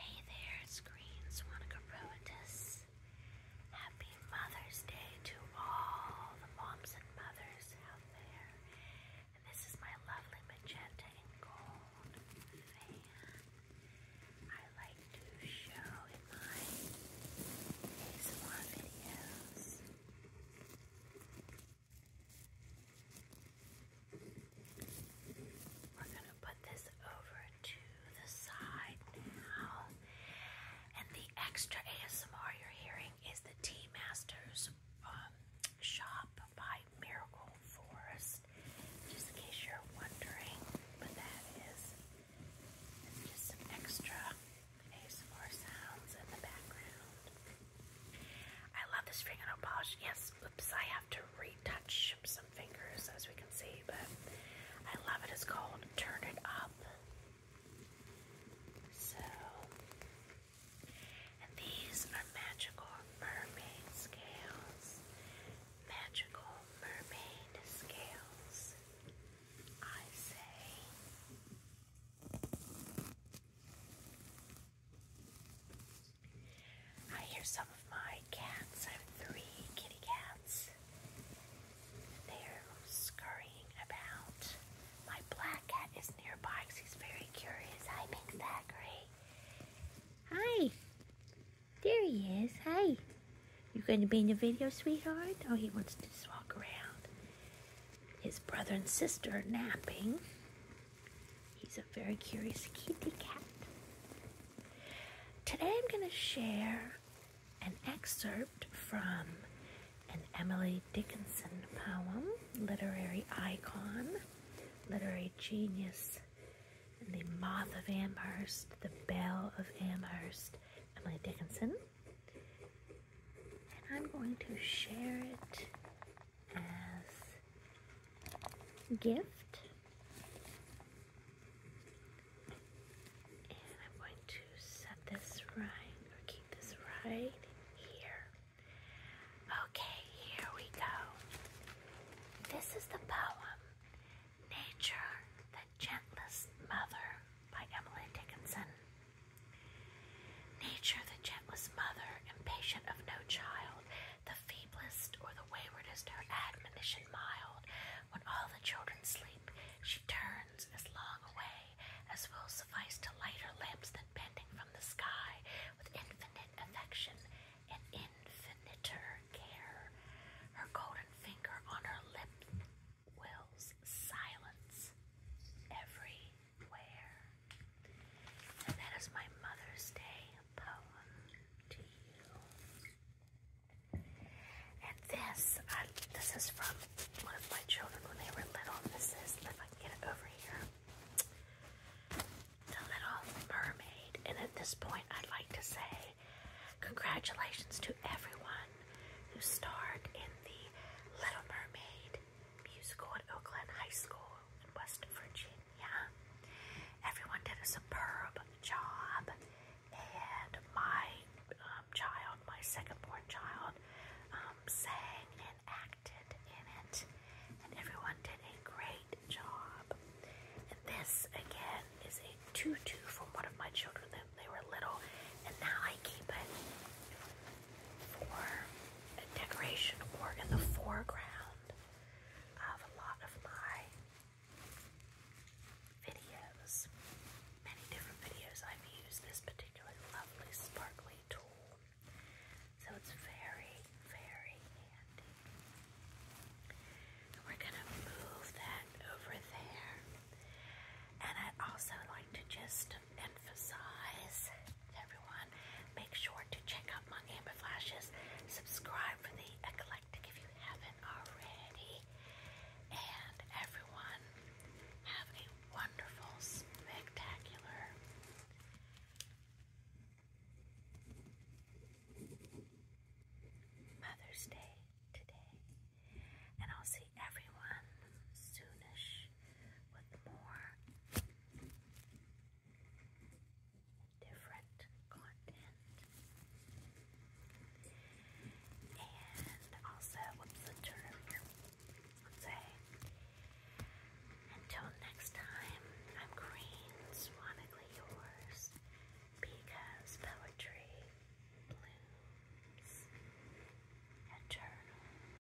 Hey there, Screen Swanica Robotus. Happy Mother's Day to all the moms and mothers out there. And this is my lovely magenta and gold fan. I like to show in my ASMR videos. We're going to put this over to the side now. And the extra ASMR you're hearing is the Tea Masters um, shop by Miracle Forest. Just in case you're wondering what that is. just some extra ASMR sounds in the background. I love this fingernail polish. Yes, oops, I have to retouch some fingers as we can see, but I love it. It's called Turn It Up. So, and these are magical mermaid scales. Magical mermaid scales, I say. I hear some of my cats. I have three kitty cats. They're scurrying about. My black cat is nearby because he's very curious. Hi, Zachary. Hi. There he is. Hi. You going to be in the video, sweetheart? Oh, he wants to just walk around. His brother and sister are napping. He's a very curious kitty cat. Today I'm going to share an excerpt from an Emily Dickinson poem, Literary Icon, Literary Genius, The Moth of Amherst, The Bell of Amherst, Emily Dickinson. And I'm going to share it as gift. And I'm going to set this right or keep this right here. Okay, here we go. This is the poem Nature, the Gentlest Mother by Emily Dickinson. Nature, the gentlest mother, impatient of no child, the feeblest or the waywardest, her admonition mild. When all the children sleep, she turns as long away as will suffice to light her lamps than bending from the sky with infinite affection and infiniter care. Her golden finger on her lips wills silence every wear. And that is my Mother's Day poem to you. And this, this is from one of my children when they were little. This is, if I can get it over here, The Little Mermaid. And at this point, I'd like to say congratulations to everyone who starred in the Little Mermaid musical at Oakland High School in West Virginia. Everyone did a superb job, and my um, child, my second-born child, um, sang and acted in it, and everyone did a great job. And this again is a tutu from one of my children that they were little, and now I keep it for decoration or in the foreground of a lot of my videos. Many different videos I've used this particular lovely sparkly tool. So it's very, very handy. we're gonna move that over there. And i also like to just just emphasize everyone, make sure to check out my Amber Flashes. Subscribe for the eclectic if you haven't already. And everyone, have a wonderful, spectacular Mother's Day today. And I'll see everyone soonish with more different content. And also, what's the term here? Let's say, until next time, I'm Green, yours, because poetry blooms eternal.